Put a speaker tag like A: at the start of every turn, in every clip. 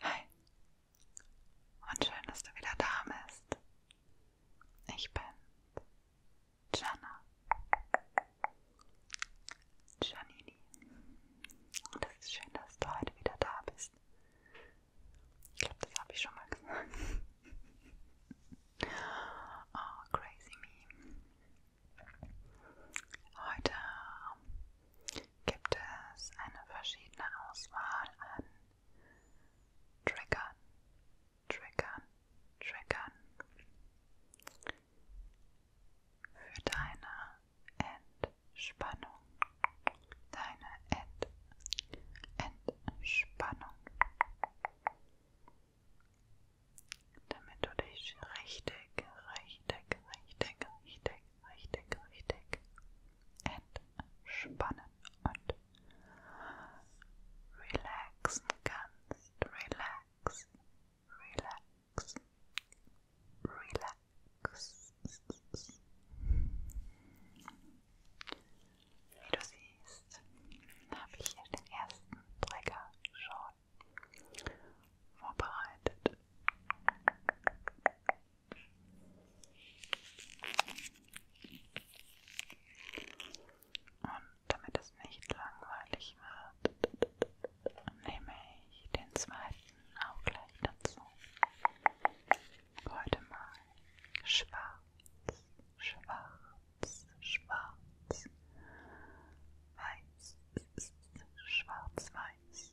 A: Hi und schön, dass du wieder da bist. Ich bin Jana Janini und es ist schön, dass du heute wieder da bist. Ich glaube, das habe ich schon mal gesagt. Oh, crazy me. Heute gibt es eine verschiedene Auswahl an Triggern, Triggern, Triggern für deine Entspannung, deine Ent Entspannung damit du dich richtig, richtig, richtig, richtig, richtig, richtig entspannen und relaxen kannst. Relax, relax, relax. Wie du siehst, habe ich hier den ersten Trigger schon vorbereitet. Und damit es nicht langweilig wird, nehme ich den zweiten auch gleich dazu. Heute mal schwarz schwarz, schwarz, weiß, schwarz, weiß.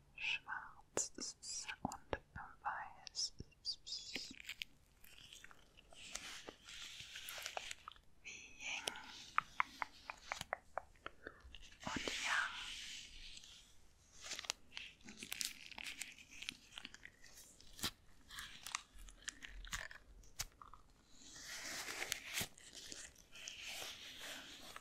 A: schwarz und weiß. Wie Yin und Yang.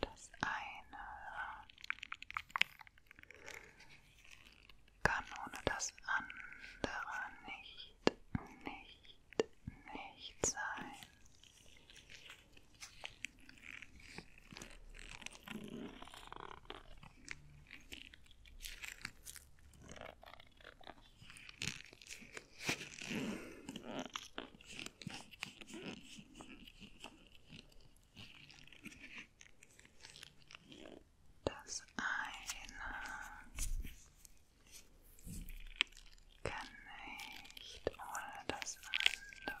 A: Das eine kann ohne das andere nicht, nicht, nicht sein. Das eine kann nicht ohne das andere.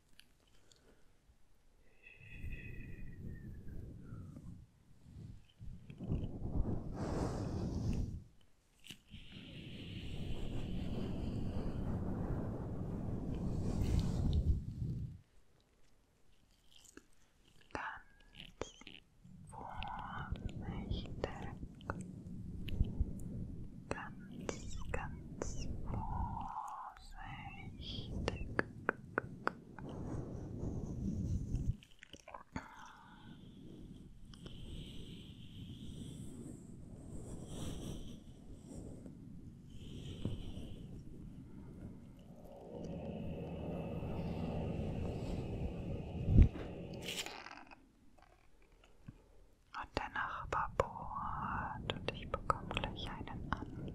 A: Ganz vorsichtig, ganz, ganz vorsichtig. Vorsicht. Und danach Nachbar bohrt und ich bekomme gleich einen Anfall.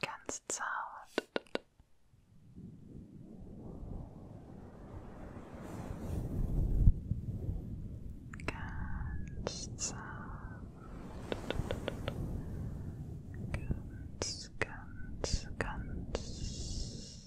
A: Ganz zart. Ganz zart. Ganz, ganz, ganz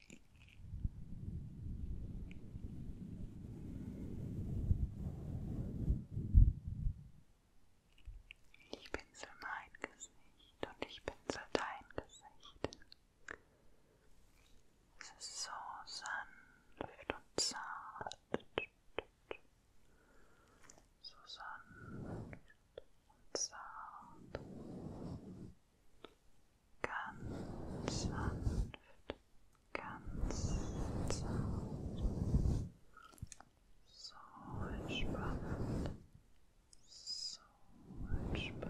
A: Ich pinsel mein Gesicht und ich pinsel dein Gesicht. Es ist so sanft und zart. So sanft und zart ganz sanft, ganz sanft, so entspannt, so entspannt.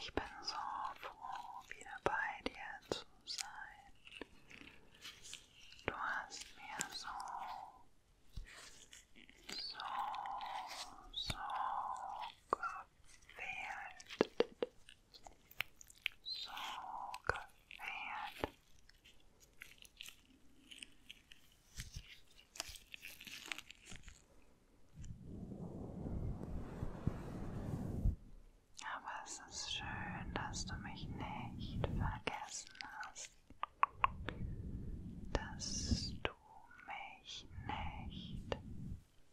A: Ich bin so froh, wieder bei dir zu sein. Du hast mir so, so, so geholfen gefällt. So gefällt. Aber es ist schön, dass du mich nicht vergessen hast. Dass du mich nicht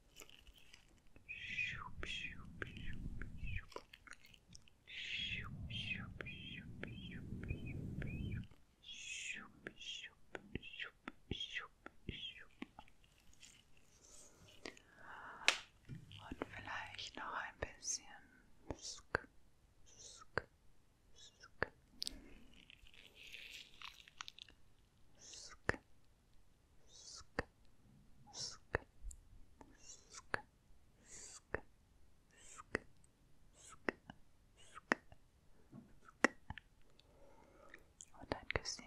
A: Und vielleicht noch ein bisschen. Sk, sk, sk. Sk, sk, sk, sk, sk, sk, sk, sk, und ein Küsschen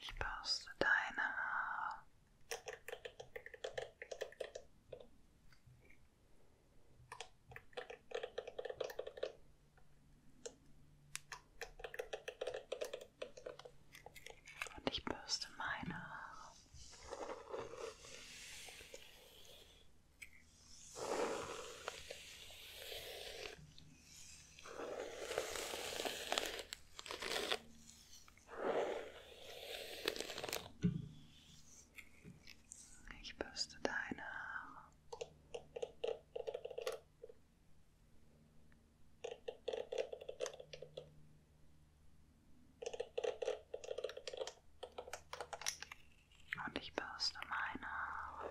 A: Ich bürste deine Haare. Und ich bürste meine Haare. Ich bürste deine Haare. Und ich bürste meine Haare.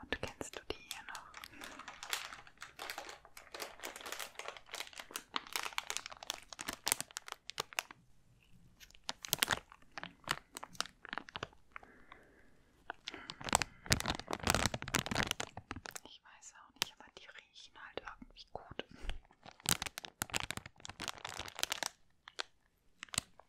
A: Und kennst du die hier noch? Ich weiß auch nicht, aber die riechen halt irgendwie gut.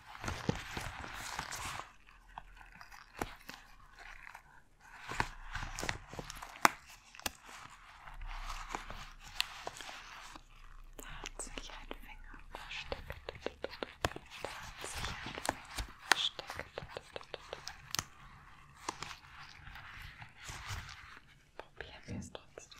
A: Da hat sich ein Finger versteckt. Da hat sich ein Finger versteckt. Probieren wir es trotzdem.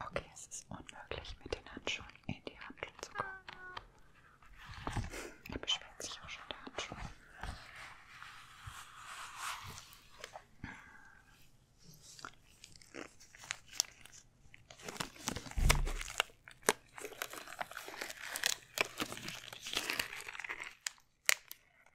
A: Okay, es ist unmöglich, mit den Handschuhen in die Handschuhe zu kommen. Da beschwert sich auch schon der Handschuh.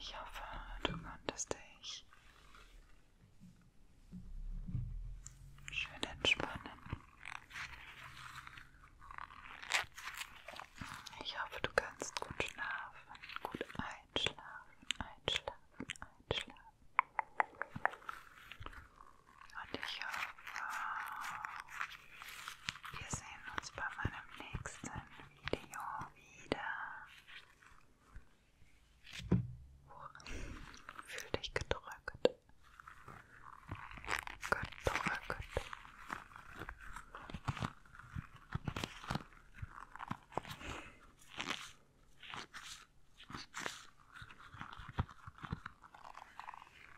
A: Ich hoffe, du konntest dich schön entspannen. Ich hoffe, du kannst gut schlafen, gut einschlafen, einschlafen, einschlafen. Und ich hoffe, äh, wir sehen uns bei meinem nächsten Video wieder. Fühl dich gedrückt. Gedrückt.